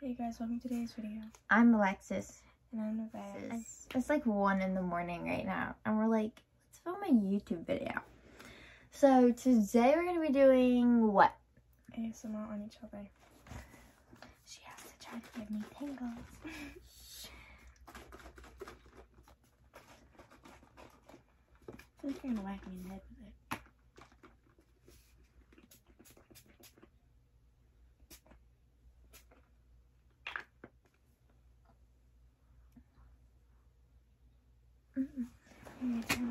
Hey guys, welcome to today's video. I'm Alexis. And I'm Nevaeh. It's, it's like 1 in the morning right now. And we're like, let's film a YouTube video. So today we're going to be doing what? She has to try to give me tingles. I feel you're gonna whack me in the head with it.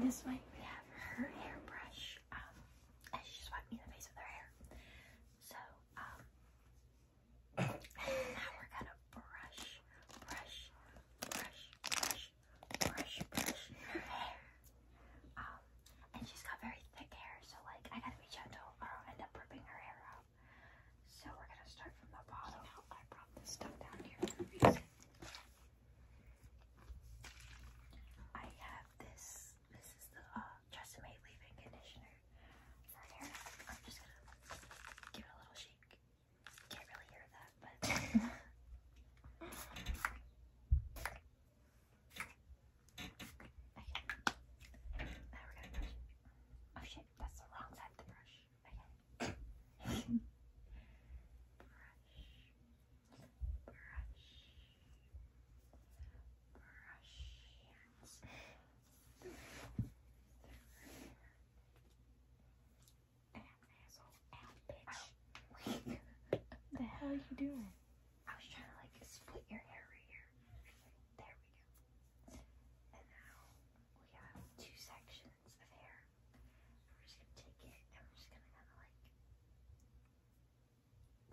this way. We have her hairbrush. Um, and she just wiped me in the face with her hair. So, um, now we're gonna brush, brush, brush, brush, brush, brush her hair. Um, and she's got very thick hair, so like I gotta be gentle or I'll end up ripping her hair out. So we're gonna start from the bottom. Now oh, I brought this stuff down here I have this. This is the uh, Tresemme leave-in conditioner for hair. I'm just gonna give it a little shake think. Can't really hear that, but. okay. Oh shit, that's the wrong side of the brush. Okay. brush. Brush. Brush the hell are you doing? I was trying to like split your hair right here. There we go. And now we have two sections of hair. We're just gonna take it and we're just gonna kinda like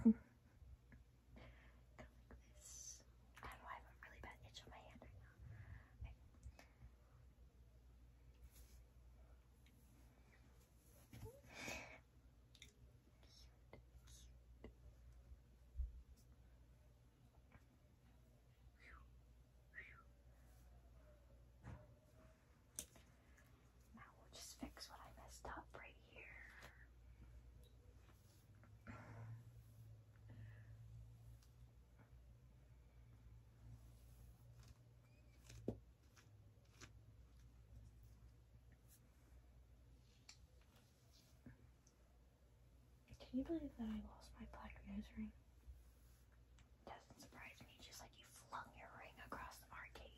go like this. I have a really bad itch on my hand right now. Now we'll just fix what I messed up right here. Can you believe that I lost my black nose ring? Doesn't surprise me, just like you flung your ring across the arcade.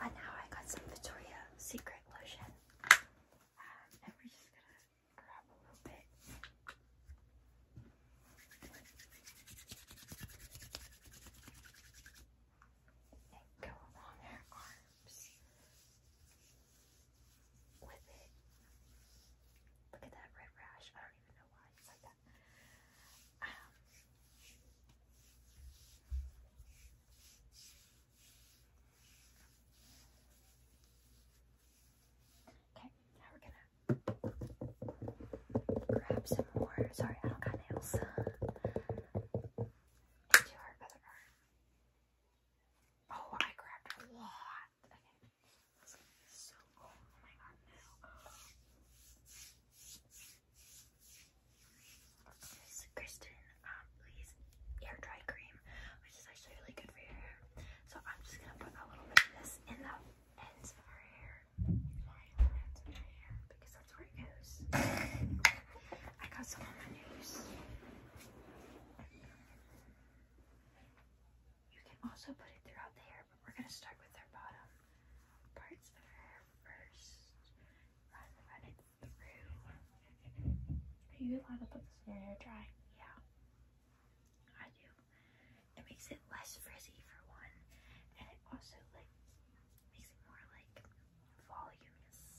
And now I got some Victoria Secret lotion. Um, and we're just gonna grab a little bit. And go along our arms with it. Look at that red rash. I don't even know why it's like that. Um, Okay, now we're gonna grab some more. Sorry, I don't got nails. Into her other arm. Oh, I grabbed a lot. Okay, so cool. Oh my god, no. This is Kristen um, Lee's hair dry cream, which is actually really good for your hair. So I'm just gonna put a little bit of this in the ends of her hair, because that's where it goes. I got some on my You can also put it throughout the hair, but we're gonna start with their bottom parts of her hair first run, run it through. Are you allowed to put this in your hair dry? Yeah, I do. It makes it less frizzy for one, and it also like makes it more like voluminous.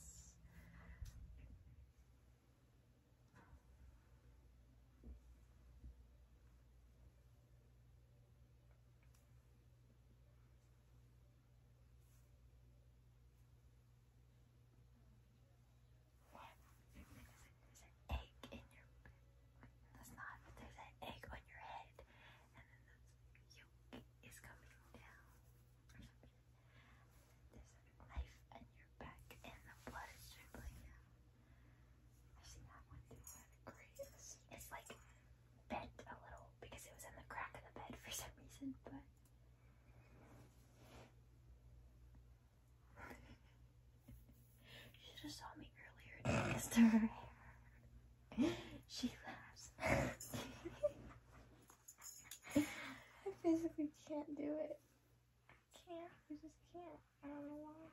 What? There's an egg in your. That's not. there's an egg on your head, and then the yolk is coming down, There's a knife on your back, and the blood is dribbling out. I've that one through It's like bent a little because it was in the crack of the bed for some reason, but she just saw me earlier and kissed her hair. She laughs. I physically can't do it. I can't. I just can't. I don't know why.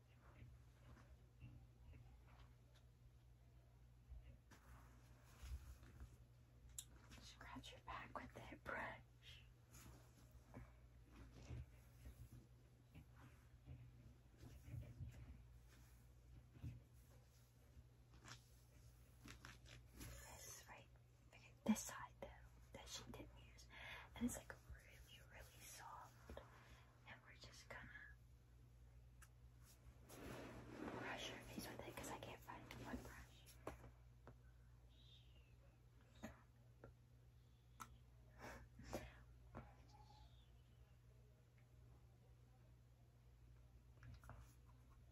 Scratch your back with that brush. This right, this side though that she didn't use, and it's like really, really soft and we're just gonna brush your face with it because I can't find the brush.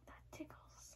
that tickles.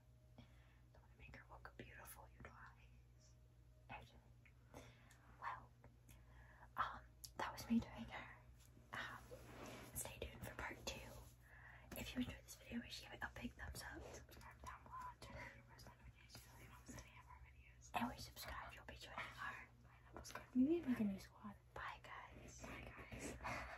Don't want to make her look beautiful, well, um, that was me doing her. Um, stay tuned for part two. If you enjoyed this video, make sure you give it a big thumbs up. And subscribe, you'll be joining our. new squad. Bye guys. Bye guys.